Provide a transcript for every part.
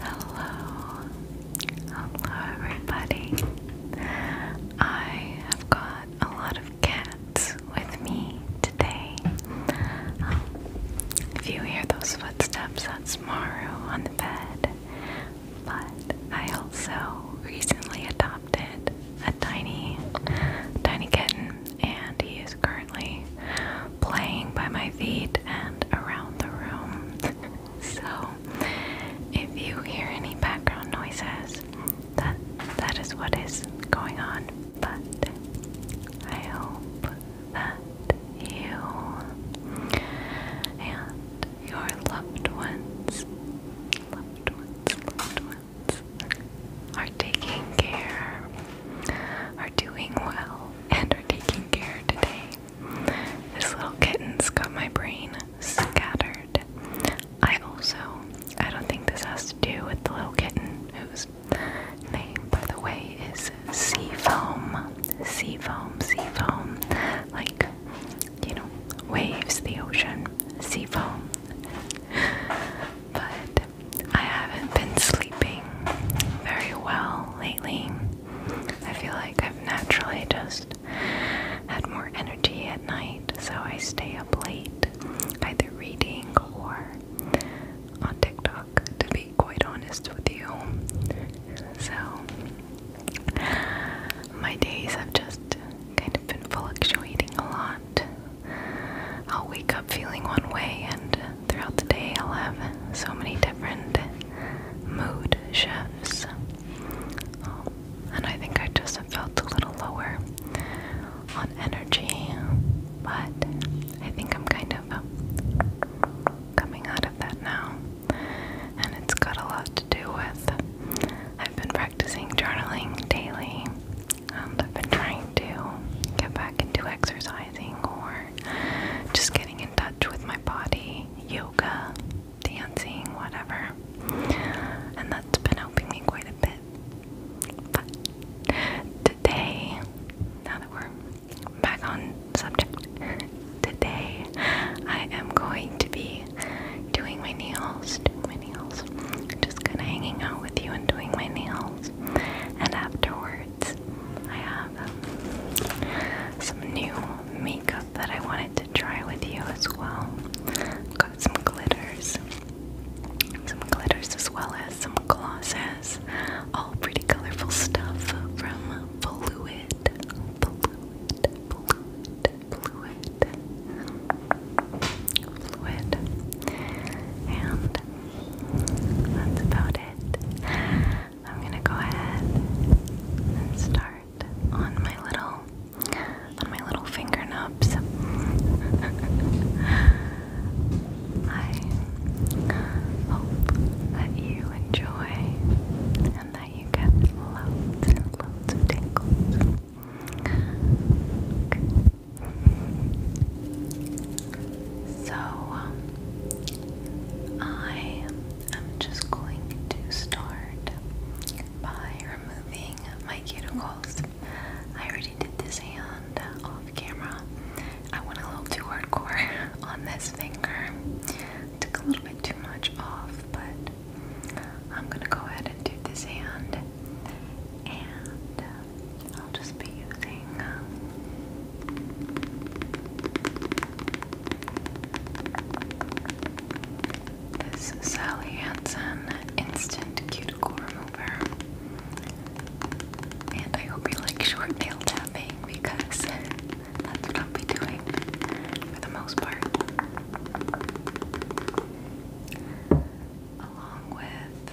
Hello, hello everybody. I have got a lot of cats with me today. Um, if you hear those footsteps, that's Maru on the bed. But I also recently adopted a tiny, tiny kitten, and he is currently playing by my feet and around the room. so if you hear any background noises, that that is what is going on. But I hope that you and your loved ones, loved ones, loved ones, are taking care, are doing well, and taking care today. This little kitten's got my brain scattered. I also, I don't think this has to do with the little kitten whose name, by the way, is Seafoam. Seafoam, Seafoam. Like, you know, waves, the ocean, seafoam. But I haven't been sleeping very well lately. I feel like I've naturally just had more energy at night, so I stay up late, either reading or on TikTok, to be quite honest with you. So, my days have just kind of been fluctuating a lot. I'll wake up feeling one way and throughout the day, I'll have so many different mood shifts. and I think I just felt a little lower on energy, but I think I'm kind of coming out of that now. And it's got a lot to do with I've been practicing journaling daily, and I've been trying to get back into exercise or just getting in touch with my body, yoga, dancing, whatever. And that's been helping me quite a bit. But today, now that we're back on subject, today I am going to be doing my nails, doing my nails, just kind of hanging out with you and doing my nails. And afterwards, I have um, some new makeup that I wanted to try with you as well. Got some glitters, some glitters as well as some glosses. All pretty colorful stuff from Fluid, Fluid, Fluid, Fluid, Fluid, and that's about it. I'm gonna go ahead and start on my little my little finger nubs. I hope that you enjoy and that you get loads and loads of tingles. So um, I am just going to start by removing my cuticles. I already did this hand off camera. I went a little too hardcore on this finger. Took a little bit too much off, but I'm gonna go ahead and do this hand and I'll just be using this Sally Hansen Instant Cuticle Remover. And I hope you like short nail tapping because that's what I'll be doing for the most part. Along with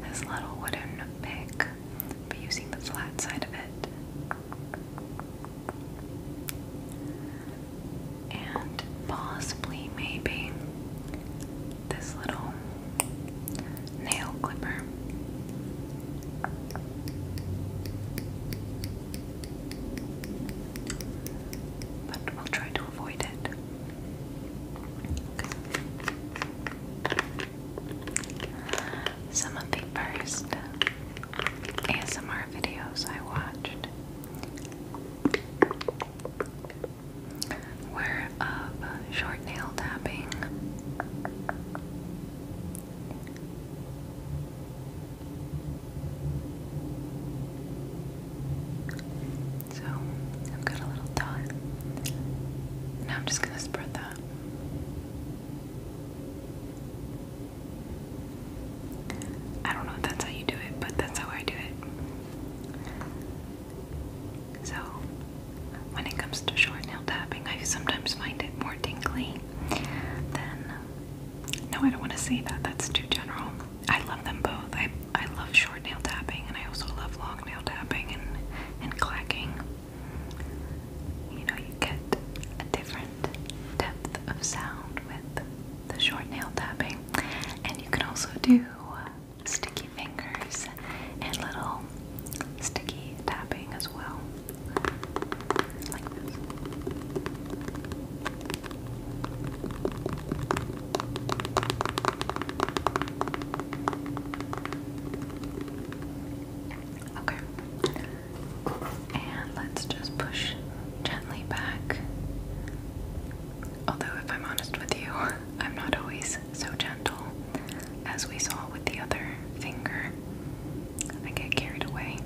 this little wooden pick, but using the flat side of it. And possibly, maybe, this little nail clipper. But we'll try to avoid it. Some of the first ASMR videos I watched were of short nail tapping. So I've got a little dot. Now I'm just going to spread that. I don't know if that's how you do it, but that's how I do it. So when it comes to short nail tapping, I sometimes find it more tingly than. No, I don't want to say that. That's too general. I love them both. I I love short nail tapping and I also love long nail tapping and and clacking. You know, you get a different depth of sound with the short nail tapping, and you can also do sticky fingers and little sticky tapping as well, Okay. And let's just push gently back. Although, if I'm honest with you, I'm not always so gentle as we saw with the other finger. I get carried away.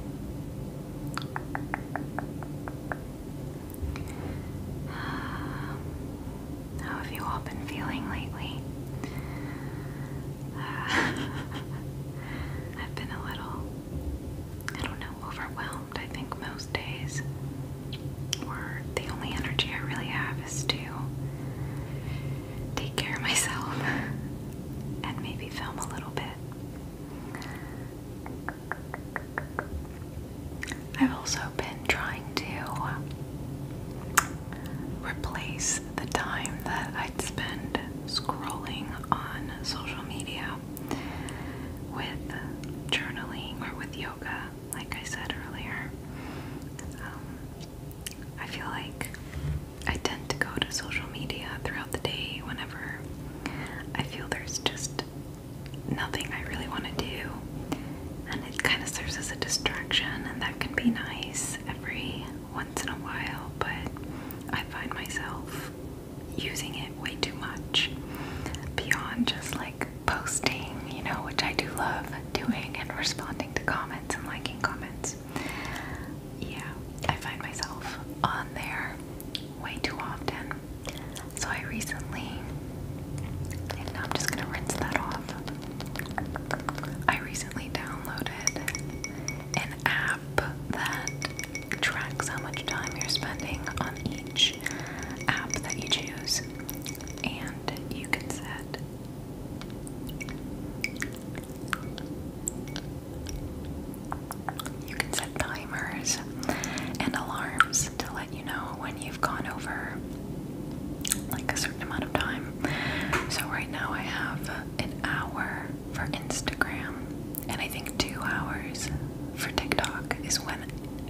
Uh, how have you all been feeling lately? Uh, I've been a little, I don't know, overwhelmed. I think most days, or the only energy I really have is to take care of myself and maybe film a little bit. I've also been trying to replace the time that I'd spend scrolling on social media with journaling or with yoga, like I said earlier. Um, I feel like I tend to go to social media throughout the day whenever I feel there's just nothing I really want to do, and it kind of serves as a distraction, and that can be nice every once in a while, but I find myself using it way too much beyond just like posting, you know, which I do love doing and responding to comments and liking comments. Yeah, I find myself on there way too often. So I recently, and I'm just gonna rinse that off. I recently downloaded an app that tracks how much time you're spending on each app that you choose, and you can set you can set timers and alarms to let you know when you gone over like a certain amount of time. So right now I have an hour for Instagram and I think 2 hours for TikTok is when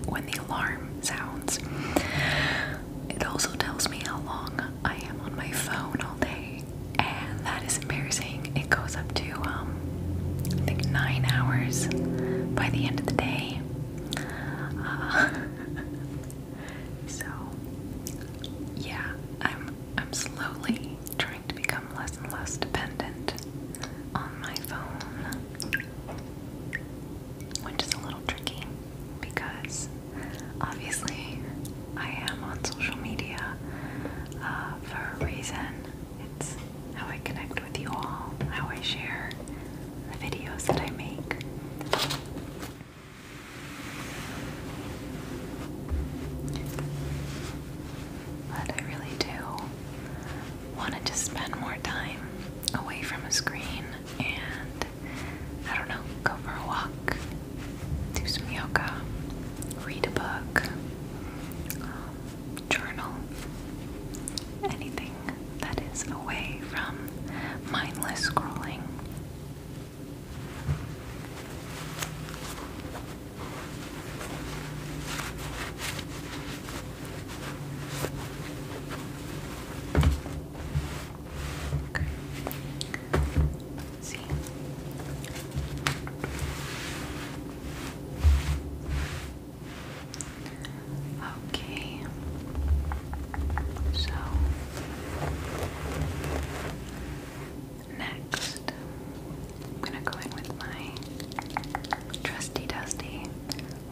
when the alarm sounds. It also tells me how long I am on my phone all day and that is embarrassing. It goes up to um, I think 9 hours by the end of the day. Uh, so yeah, I'm I'm slowly trying to become less and less dependent on my phone, which is a little tricky because obviously I am on social media uh, for a reason. It's how I connect with you all, how I share the videos that I make. But I really do want to just spend more time away from a screen and, I don't know, go for a walk, do some yoga, read a book, um, journal, anything that is away from mindless scrolling. Okay. see. Okay. So next, I'm gonna go in with my trusty dusty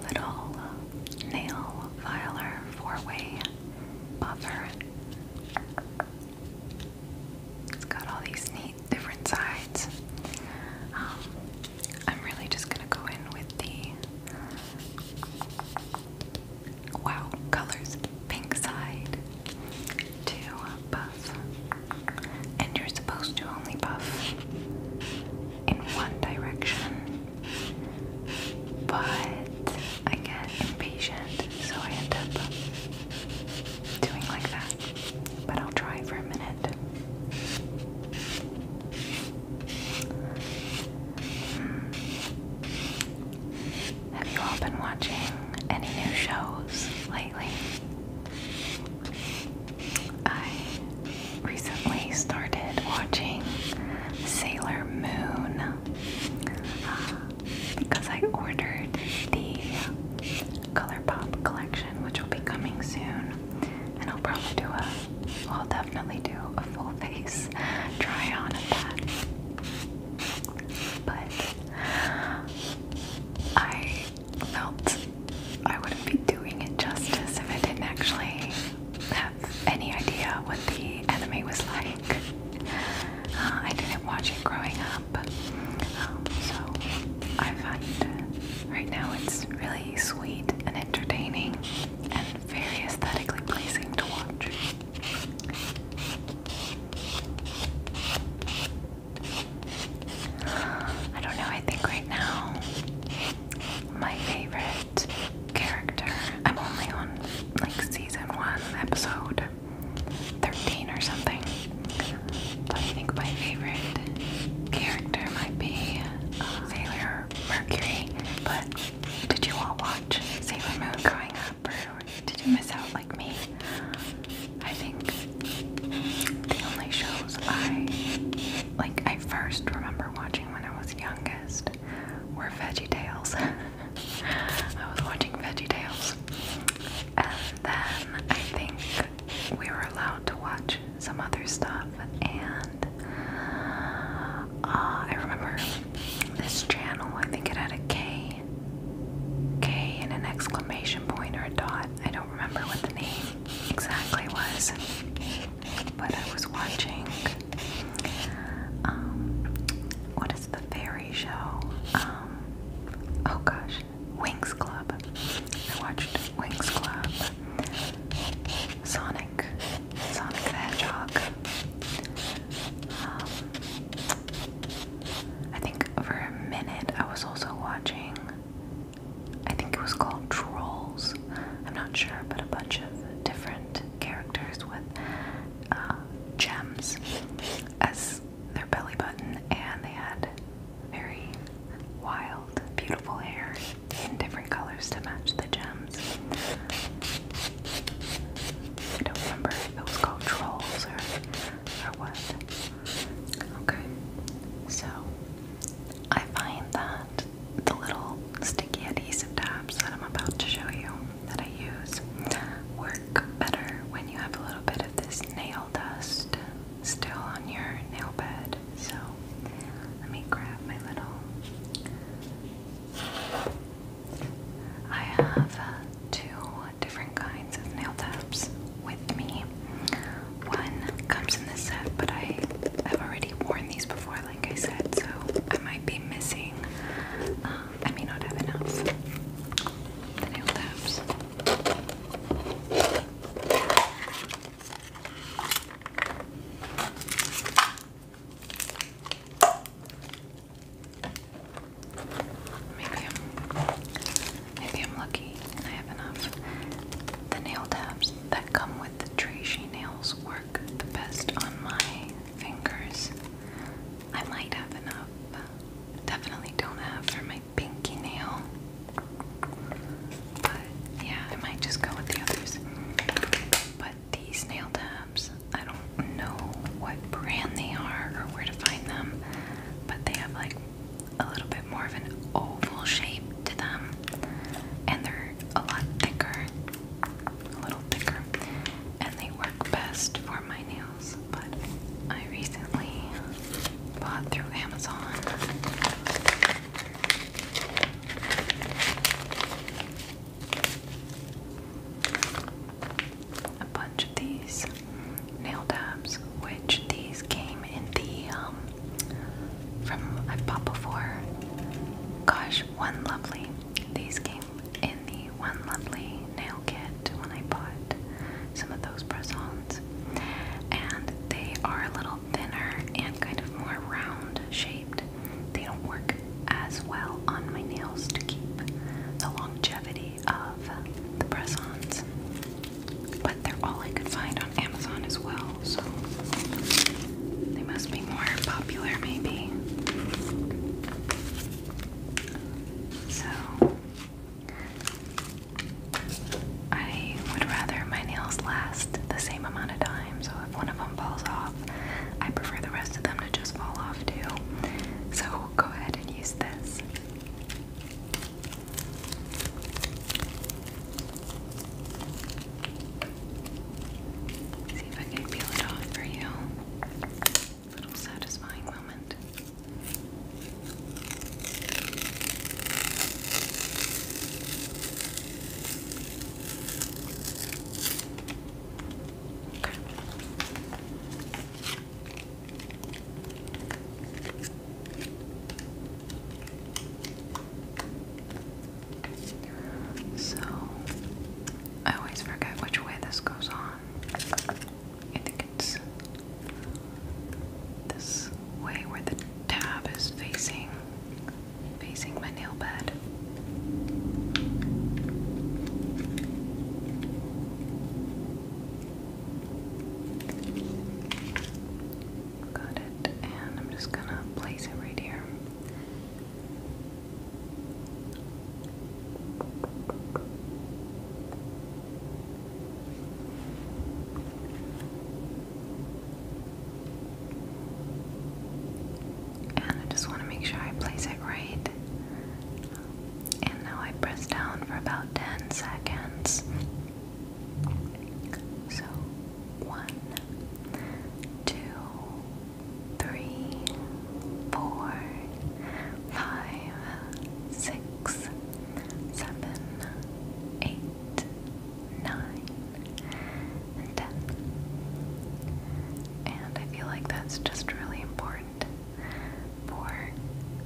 little nail filer four-way buffer. It's got all these neat different sides. Um, I'm really just gonna go in with the wow colors pink side to buff, and you're supposed to only buff in one direction, but I get impatient, so I end up doing like that. But I'll try for a minute. Have you all been watching any new shows lately? I recently started watching Sailor Moon uh, because I ordered the ColourPop collection, which will be coming soon and I'll probably do a, will definitely do a full face try on of that. But I felt I wouldn't be doing it justice if I didn't actually have any idea what the anime was like. Uh, I didn't watch it growing up, um, so I find uh, right now it's really sweet and entertaining and very aesthetically pleasing to watch. I don't know, I think right now my favorite character, I'm only on like season 1, episode 13 or something, but I think my favorite character might be uh, Mercury, but did you all watch Sailor Moon growing up, did you miss out like me? I think the only shows I like I first remember watching when I was youngest were Veggie Tales. I was watching Veggie Tales, and then I think we were allowed to watch some other stuff, and uh, I remember this channel. I think it had a K, K and an exclamation point or a dot. I don't remember what the name exactly was, but I was watching. Um, what is the fairy show? Um, oh gosh, Wings Club. I watched Wings Club. Sonic, Sonic the Hedgehog. Um, I think for a minute I was also watching, I think it was called Trolls. I'm not sure, but a bunch of different characters with uh, gems as their belly button, and they had very wild, beautiful hair in different colors to match the gems. I don't remember if it called trolls or, or what. Okay, so I find that the little sticky adhesive tabs that I'm about to show you that I use work better when you have a little bit of this nail dust still on your nail bed. So let me grab my little. I have uh, two different kinds of nail taps with me. One comes in this set, but I have already worn these before, like I said, so I might be missing. Uh, I may not have enough nail taps. Maybe I'm maybe I'm lucky and I have enough. The nail tabs that come with the trashy nails work the best on my fingers. I might have enough. Definitely don't have for my pinky nail. But yeah, I might just go with the others. But these nail tabs, I don't know what brand they are or where to find them, but they have like a little bit more of an oval shape to them, and they're a lot thicker, a little thicker, and they work best for my nails. But I recently bought through Amazon a bunch of these nail tabs, which these came in the um, from I've bought before. Gosh, one lovely. These came in the one lovely nail kit when I bought some of those press and they are a little thinner and kind of more round shaped. They don't work as well on my nails to keep the longevity of the press ons. But they're all I could find on Amazon as well, so they must be more popular, maybe. So, I would rather my nails last the same amount of time so if one of them falls off, I prefer the rest of them to just fall off too. So go ahead and use this. See if I can peel it off for you. Little satisfying moment. So, I always forget which way this goes on. I think it's this way where the tab is facing facing my nail bed. Got it, and I'm just gonna place it right here. And I just want to make sure I place it right. And now I press down for about 10 seconds. So, one, two, three, four, five, six, seven, eight, nine, and 10. And I feel like that's just really important for,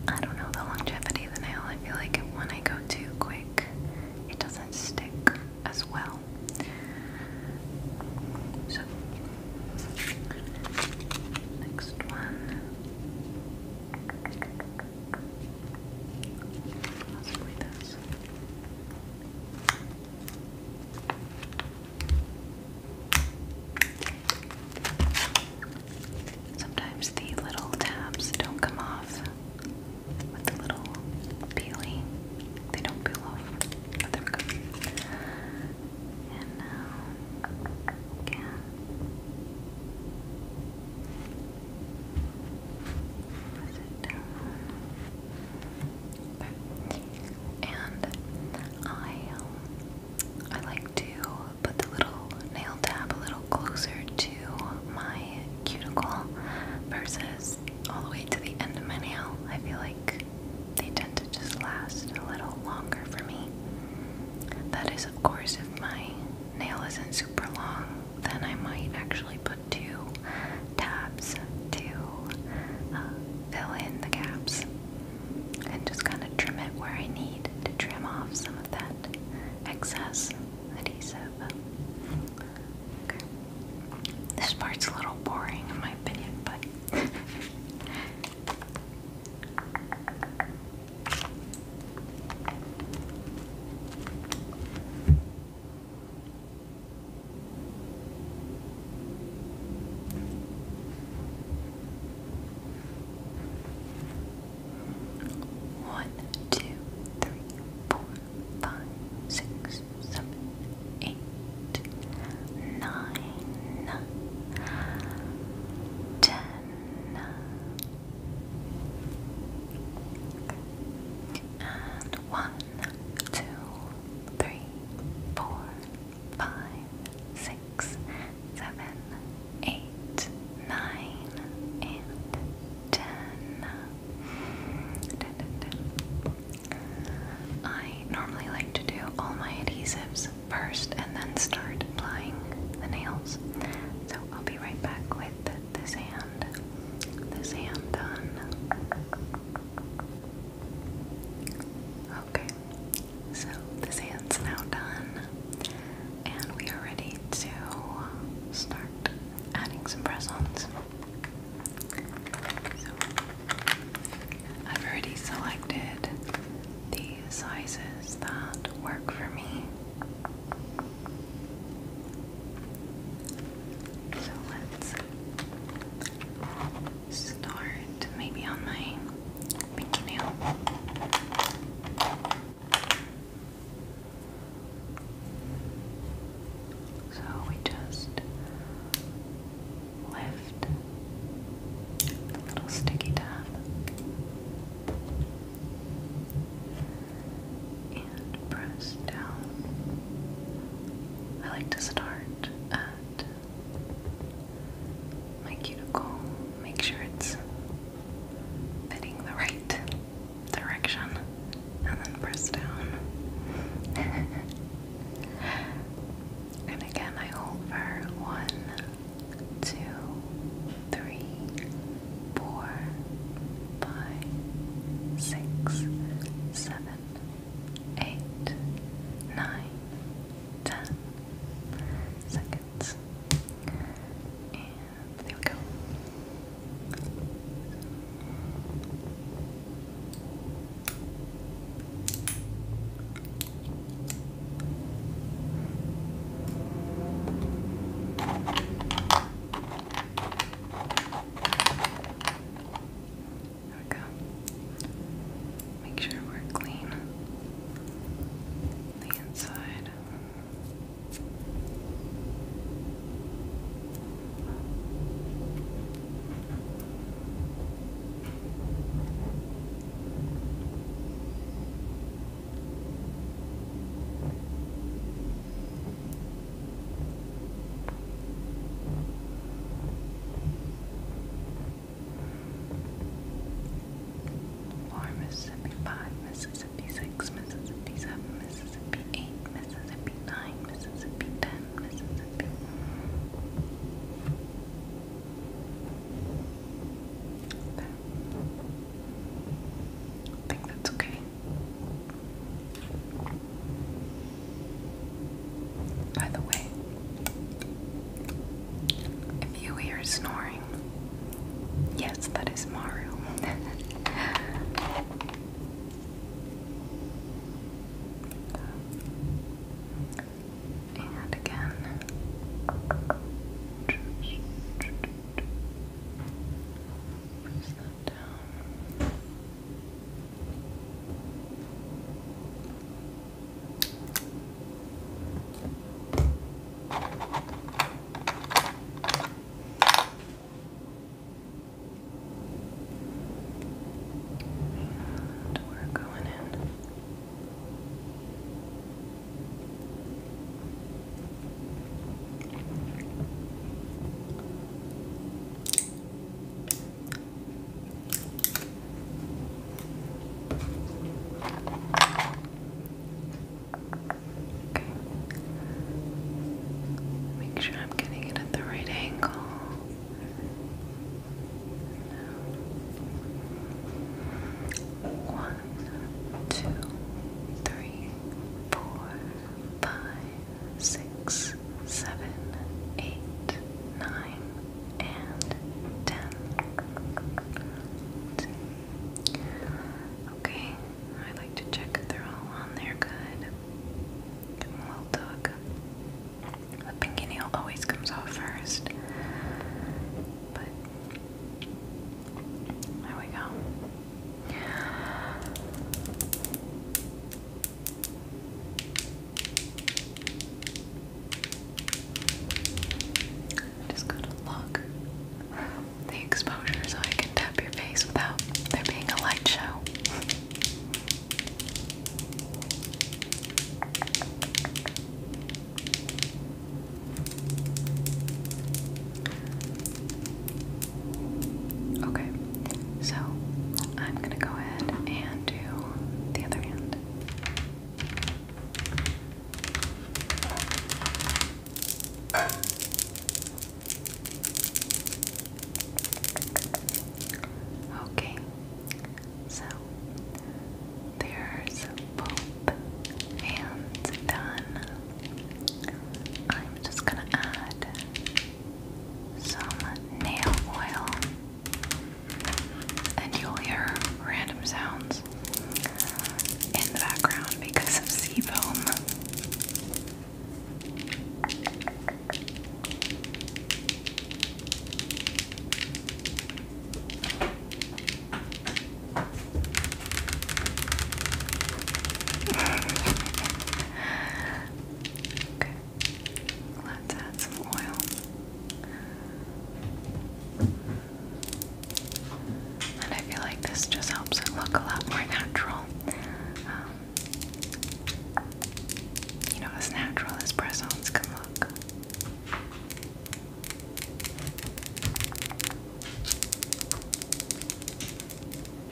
I don't know, the longevity of the nail. I feel like when I go too quick, it doesn't stick as well. So, next one. Possibly this. Sometimes the little tabs don't come off with the little peeling. They don't peel off. But there we go. And now, um, yeah. Press it and I um, I like to put the little nail tab a little closer to my cuticle versus all the way to the end of my nail. I feel like they tend to just last a little longer for me. That is, of course, if my nail isn't super long, then I might actually put two tabs to uh, fill in the gaps and just kind of trim it where I need to trim off some of that excess adhesive. This part's a little boring in my opinion, but. One, two, three, four, five, six, seven, eight, nine, ten. And one, two, three, four, five, six, seven, eight, nine, and ten. Ten, I normally like to do all my adhesives first and then start applying the nails. So I'll be right back with this hand. This hand done. Okay, so this hand's now done, and we are ready to start adding some press ons. So, I've already selected the sizes that work for me. So let's start maybe on my pinky nail. So we just lift the little sticky tab press down. I like to start at my cuticle, make sure it's fitting the right direction, and then press down. and again, I hold for one, two, three, four, five, six, seven eight, nine, ten seconds. there we go. There we go. Make sure we're clean. The inside. Four Mississippi, five Mississippi, six Mississippi, seven Mississippi, eight Mississippi, nine Mississippi, ten Mississippi. There. I think that's okay. By the way, if you hear snoring, yes, that is Maru. and again. Press that down. And we're going in. Make sure I'm getting it at the right angle. One, two, three, four, five, six, seven, eight, nine, and ten. Okay, I like to check they're all on there good. Getting well dug. The pinky nail always comes off first. But there we go. Just gotta lock the exposure so I can tap your face without there being a light show. Okay. So I'm gonna go ahead and do the other hand. Okay, so there's both hands done. I'm just gonna add some nail oil, and you'll hear random sounds in the background because of sea foam. okay. Let's add some oil. And I feel like this just helps it look a lot more natural. Um, you know, as natural as press ons can look.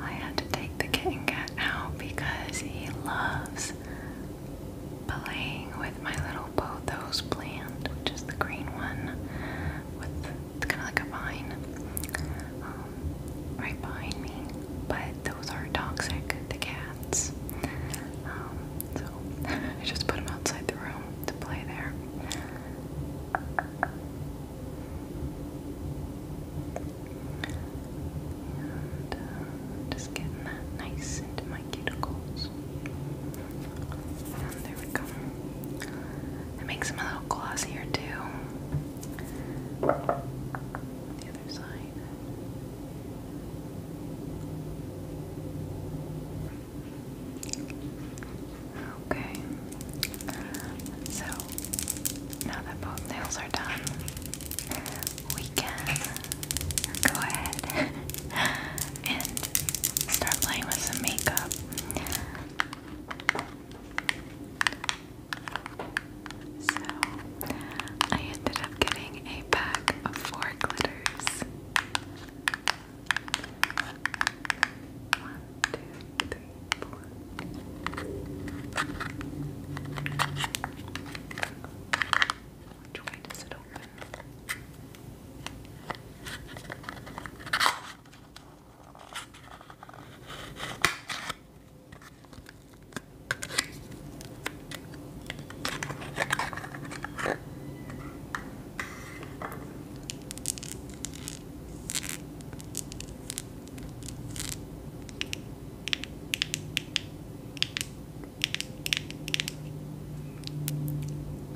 I had to take the kitten cat out because he loves playing with my little pothos plant, which is the green one with kind of like a vine um, right behind me. But those are toxic to cats. Um, so I just put them outside the room to play there. Uh, just getting that nice into my cuticles. there we go. It makes them a little glossier too. The other side. Okay. So now that both nails are done, we can go ahead and start playing with some makeup. So, I ended up getting a pack of four glitters. One, two, three, three, four. Which way does it open?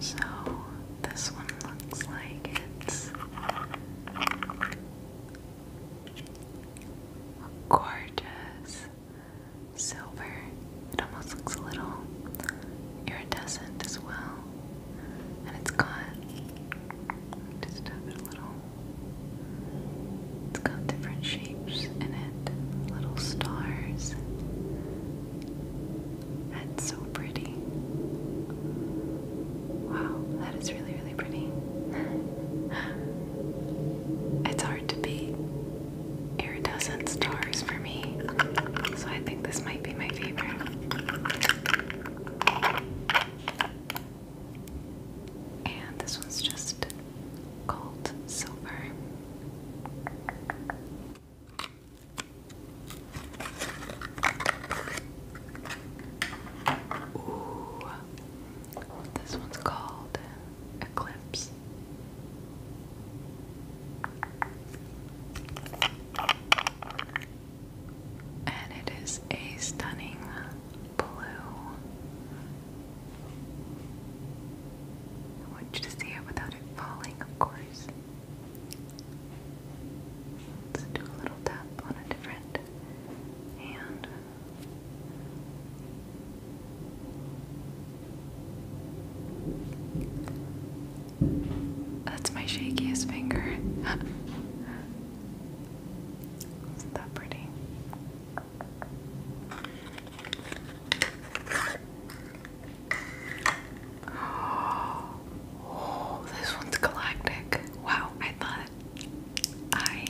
So, this one looks like it's gorgeous silver. It almost looks a little iridescent as well. And it's got just a little it's got different shapes in it, little stars. That's so pretty. Wow, that is really, really pretty. It's hard to beat iridescent stars for me, so I think this might be my favorite. And this one's just gold silver. Ooh. This one's called Eclipse and it is a stunning blue. I want you to see it without it falling, of course. Let's do a little tap on a different hand. That's my shakiest finger. that pretty? Oh, this one's galactic. Wow, I thought I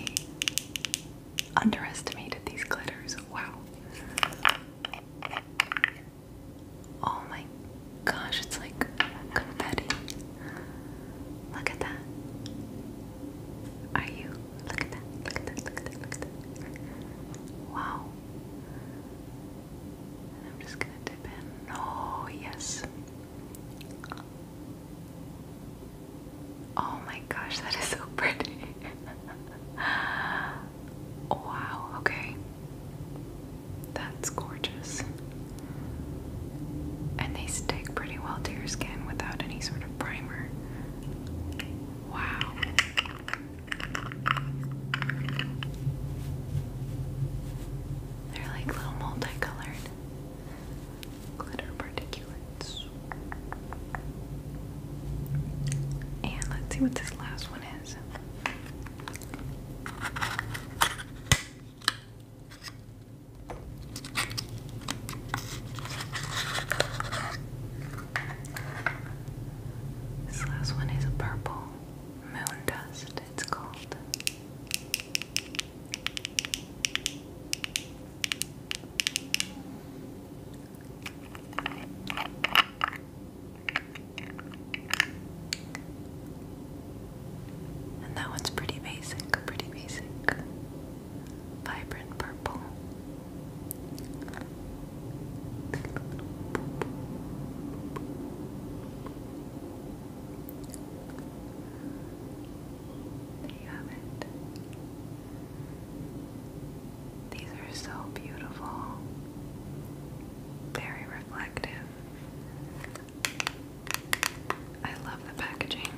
underestimated these glitters. Wow. Oh my gosh, it's like confetti. Look at that. Are you? Look at that. Look at that. Look at that. Look at that. Wow. I'm just gonna dip in. Oh yes. Oh my gosh, that is so pretty. wow, okay. That's gorgeous. And they stick pretty well to your skin without any sort of primer. Wow. They're like little multicolored glitter particulates. And let's see what this last one is. This last one is a purple moon dust, it's called. And that one's pretty basic, pretty basic vibrant purple. There you have it. These are so beautiful, very reflective. I love the packaging.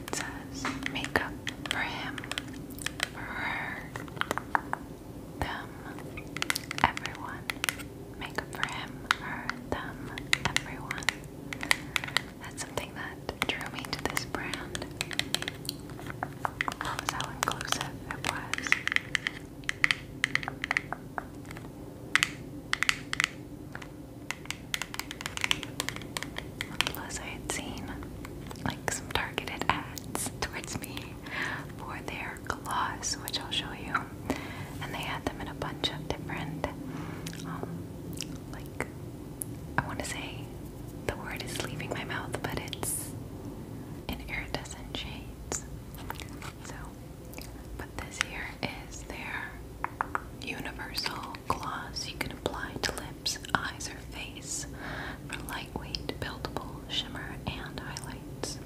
It says makeup for him, for her, them, everyone. Makeup for him, her, them, everyone. That's something that drew me to this brand. Was how inclusive it was. Plus, I had seen like some targeted ads towards me for their gloss, which I'll show you. And they had them in a bunch of different, um, like, I want to say the word is leaving my mouth, but it's in iridescent shades. So, put this here is their universal gloss you can apply to lips, eyes, or face for lightweight, buildable shimmer and highlights.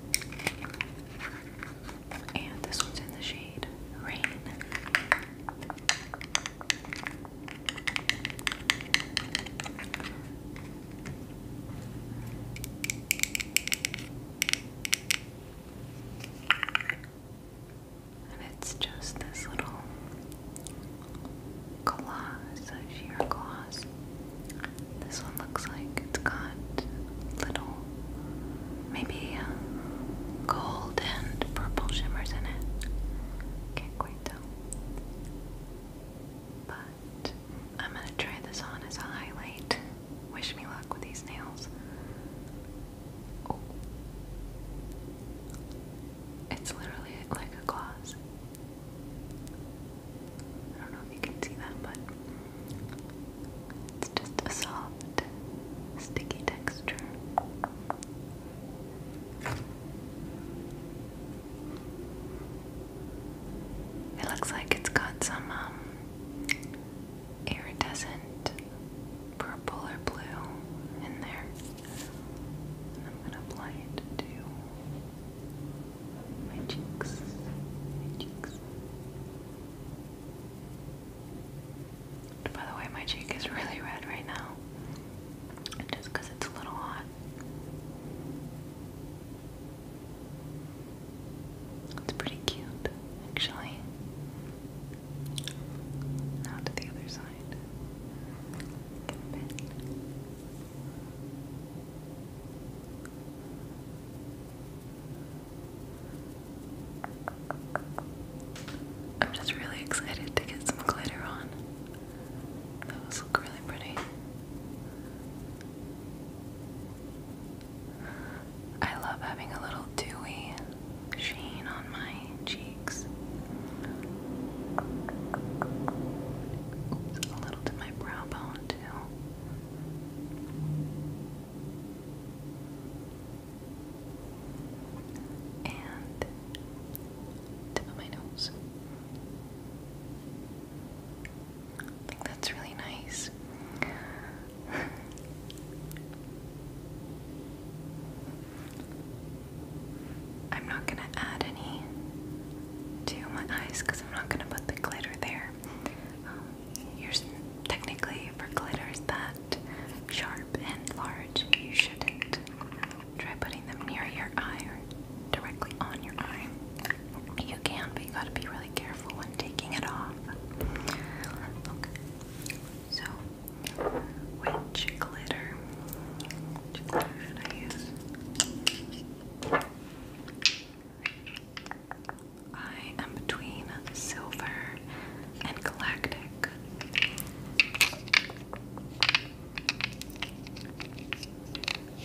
And this one's in the shade Rain. And it's just this little gloss, a sheer gloss. This one looks like it's got little, maybe uh, gold and purple shimmers in it. Can't quite tell. But I'm gonna try this on as a highlight. Wish me luck with these nails. It's literally like a gloss. I don't know if you can see that, but it's just a soft, sticky texture. It looks like it's got some um, iridescent purple or blue in there. And I'm gonna apply it to my cheeks. My cheeks. By the way, my cheek is really red right now. Just because it's a little hot. It's pretty cute, actually. Not to the other side. I'm just really excited to get some glitter on. Those look really pretty. I love having a little dewy sheen on my cheeks. a little to my brow bone too. And tip of my nose. I think that's really nice. I'm not going to add any to my eyes because I'm not going to put the glitter there. Um, you're technically for glitters that sharp and large, you shouldn't try putting them near your eye or directly on your eye. You can, but you gotta be really careful when taking it off. Okay, so which glitter? should I use? I am between silver and galactic.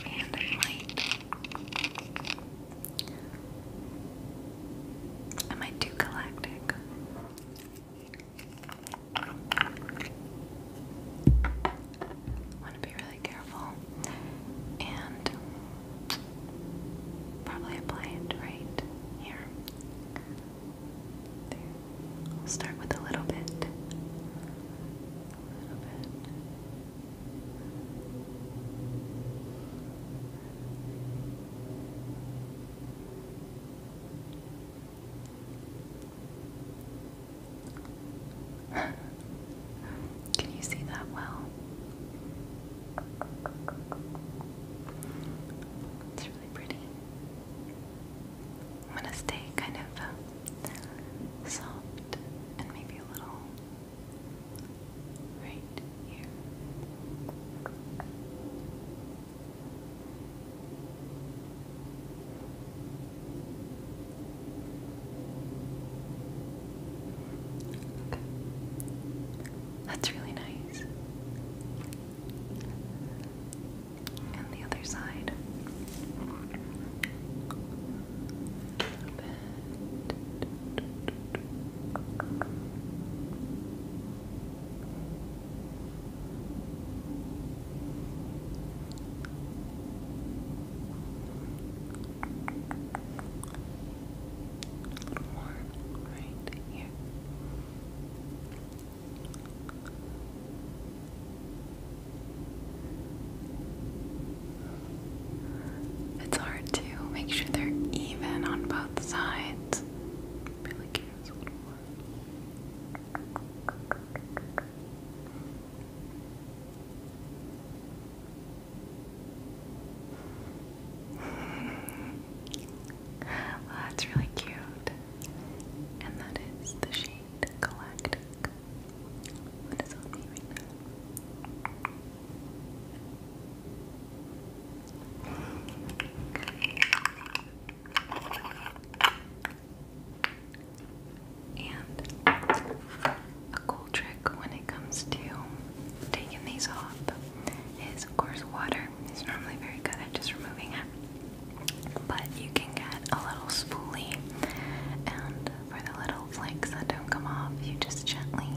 And I might. I might galactic. Want to be really careful and probably apply it right here. I'll start with a little bit. Can you see that well? It's really pretty. I'm going to stay kind of uh, soft and maybe a little right here. That's really nice. And the other side. It's hard to make sure they're even on both sides. Really that's really cute. And that is the shade Galactic. What is on me right now? And a cool trick when it comes to taking these off is, of course, water. It's normally very good at just removing it, but you can get a little spoolie, and for the little flakes that don't come off, you just gently,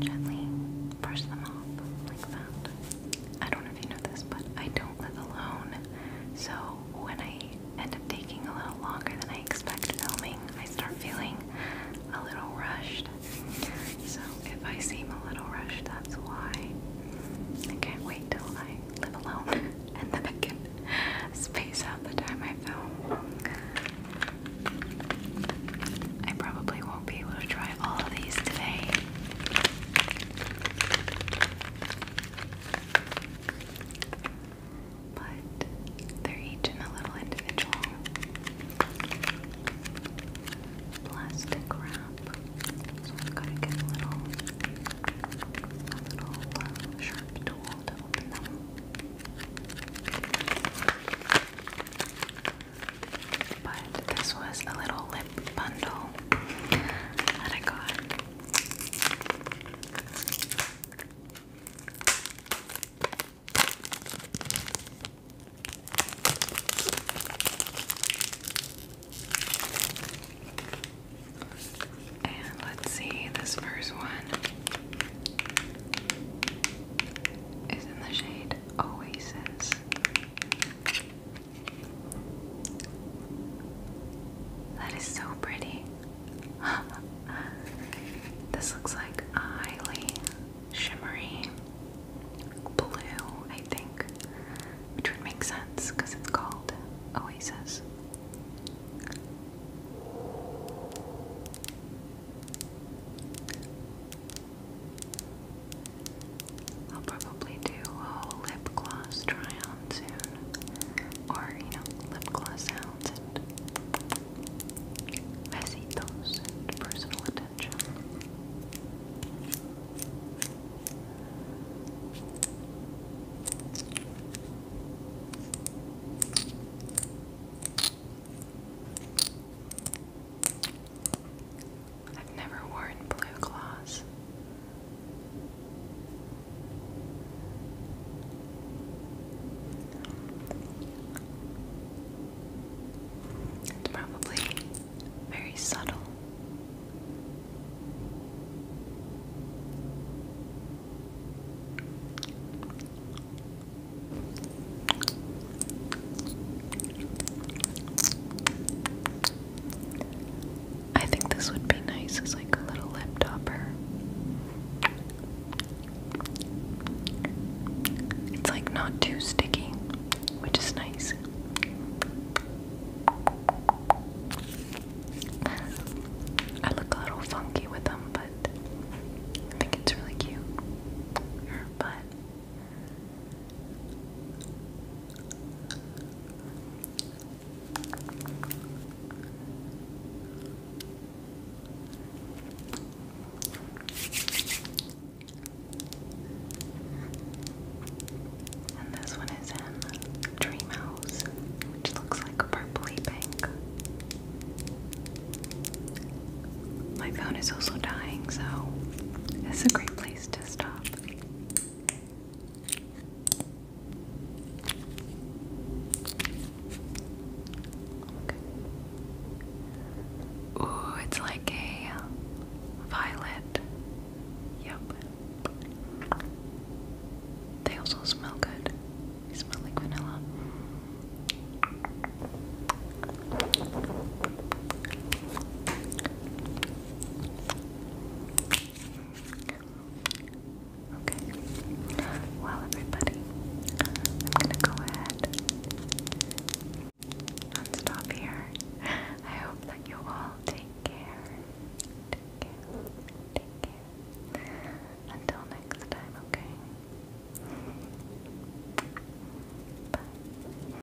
gently brush them off like that. I don't know if you know this, but I don't live alone. So when I end up taking a little longer than I expect filming, I start feeling a little rushed. So if I seem a little rushed, that's why. I can't wait till I live alone and then I can space out the time I film. I probably won't be able to try try all of these today. But they're each in a little individual plastic wrap. So I've got a little, uh, sharp tool to open them. But this was a little lip bundle that I got. And let's see, this first one is in the shade Oasis. That is so pretty. this looks like a highly shimmery blue, I think, which would make sense because it's called Oasis. I'll probably do a whole lip gloss try on soon. Or, you know, lip gloss sounds and besitos personal attention. I've never worn blue gloss. It's probably very subtle. I think this would be nice as like a little lip topper. It's like not too sticky, which is nice. I look a little funky with them, but I think it's really cute. But and this one is in Dream which looks like purpley pink. My phone is also dying, so it's a great place to stop. Ooh, it's like a uh, violet. Yep. They also smell good. They smell like vanilla. Okay. Well, everybody, I'm gonna go ahead and stop here. I hope that you all take care. Take care. Take care. Until next time, okay? Bye.